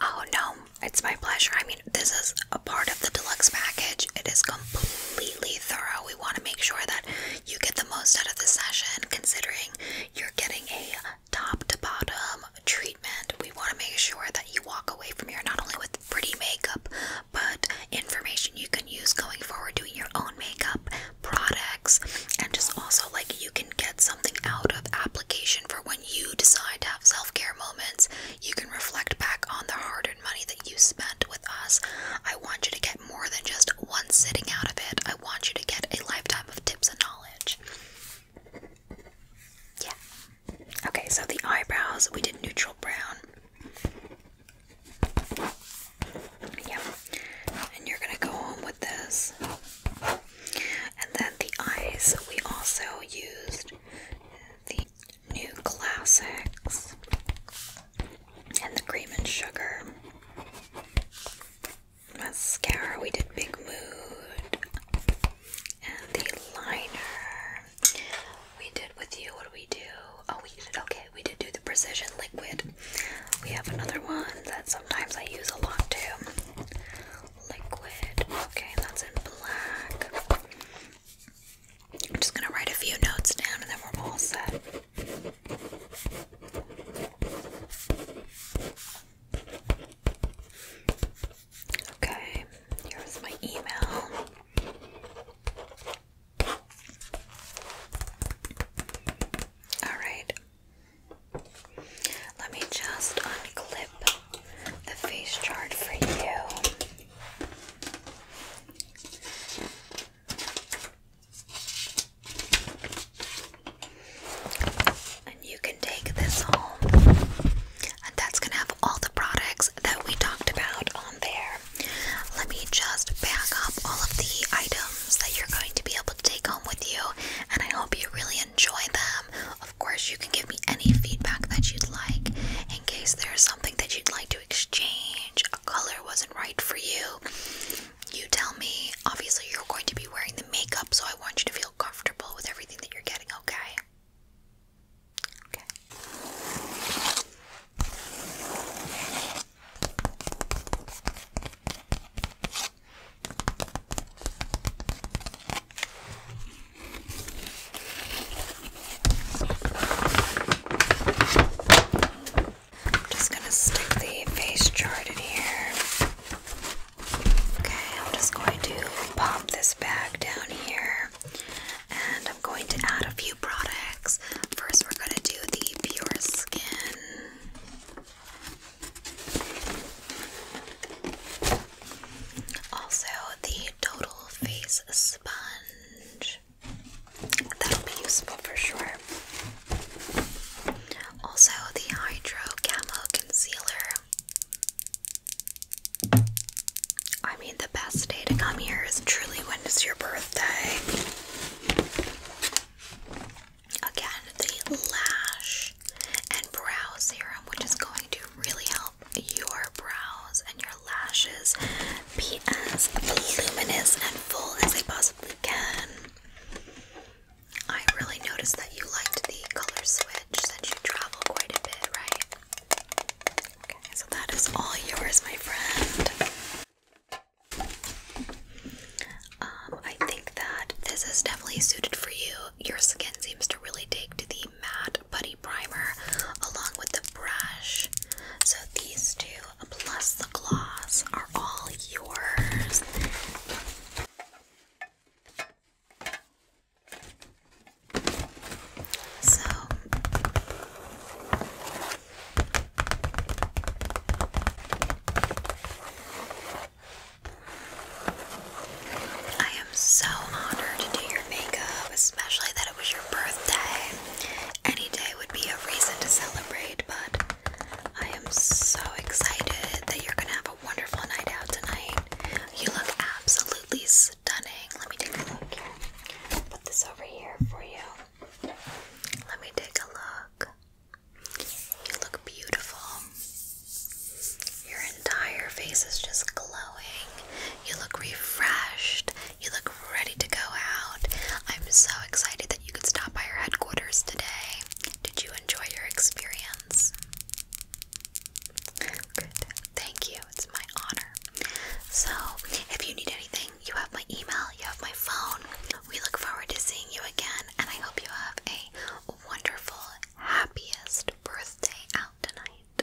A: Oh no, it's my pleasure. I mean, this is a part of the deluxe package. It is completely thorough. We want to make sure that you get the most out of the session, considering you're getting a top to bottom treatment. We want to make sure that you walk away from here not only with pretty makeup, but information you can use going forward doing your own makeup products and just also like you can get something out of application for when you decide to have self-care moments you can reflect back on the hard-earned money that you spent with us i want you to get more than just one sitting out of it i want you to get a lifetime of tips and knowledge yeah okay so the eyebrows we did neutral brown yeah. And you're gonna go home with this. And then the eyes, we also used the new classics and the cream and sugar mascara. We did Big Mood and the liner. We did with you. What do we do? Oh, we did. Okay, we did do the precision liquid we have another one that sometimes I use a lot too. Liquid. Okay, that's in black. I'm just gonna write a few notes down and then we're all set. Okay, here's my email. Alright. Let me just unclip the face chart for you. And you can take this home. And that's going to have all the products that we talked about on there. Let me just back up all of the items that you're going to be able to take home with you, and I hope you really enjoy them. Of course, you can give me any feedback that you'd like in case there's something that you'd like to exchange, a color wasn't right for you. You tell me. Obviously, you're going to be wearing the makeup, so I want you to feel comfortable with everything that you're getting, Okay. I'm just going to stick the face chart in here. Okay, I'm just going to pop this bag down here and I'm going to add a few products. First, we're going to do the Pure Skin also, the total face sponge. That'll be useful for sure. Also, the Hydro Camo Concealer. I mean, the best day to come here is truly when it's your birthday. Again, the lash and brow serum, which is going to really help your brows and your lashes be as luminous and full as they possibly can. I really noticed that you liked the color switch since you travel quite a bit, right? Okay, so that is all yours, my friend. Um, I think that this is definitely suited for you. Your skin seems to really take to the matte putty primer along with the brush. So these two plus the gloss are all yours. So I am so honored to do your makeup, especially that it was your birthday. Any day would be a reason to celebrate, but I am so excited that you're gonna have a wonderful night out tonight. You look absolutely stunning. Let me take a look Put this over here for you. Let me take a look. You look beautiful. Your entire face is just glowing. You look refreshed. You look ready to go out. I'm so excited that you could stop by our headquarters today. Did you enjoy your experience? Good. Thank you. It's my honor. So, if you need anything, you have my email, you have my phone. We look forward to seeing you again, and I hope you have a wonderful, happiest birthday out tonight.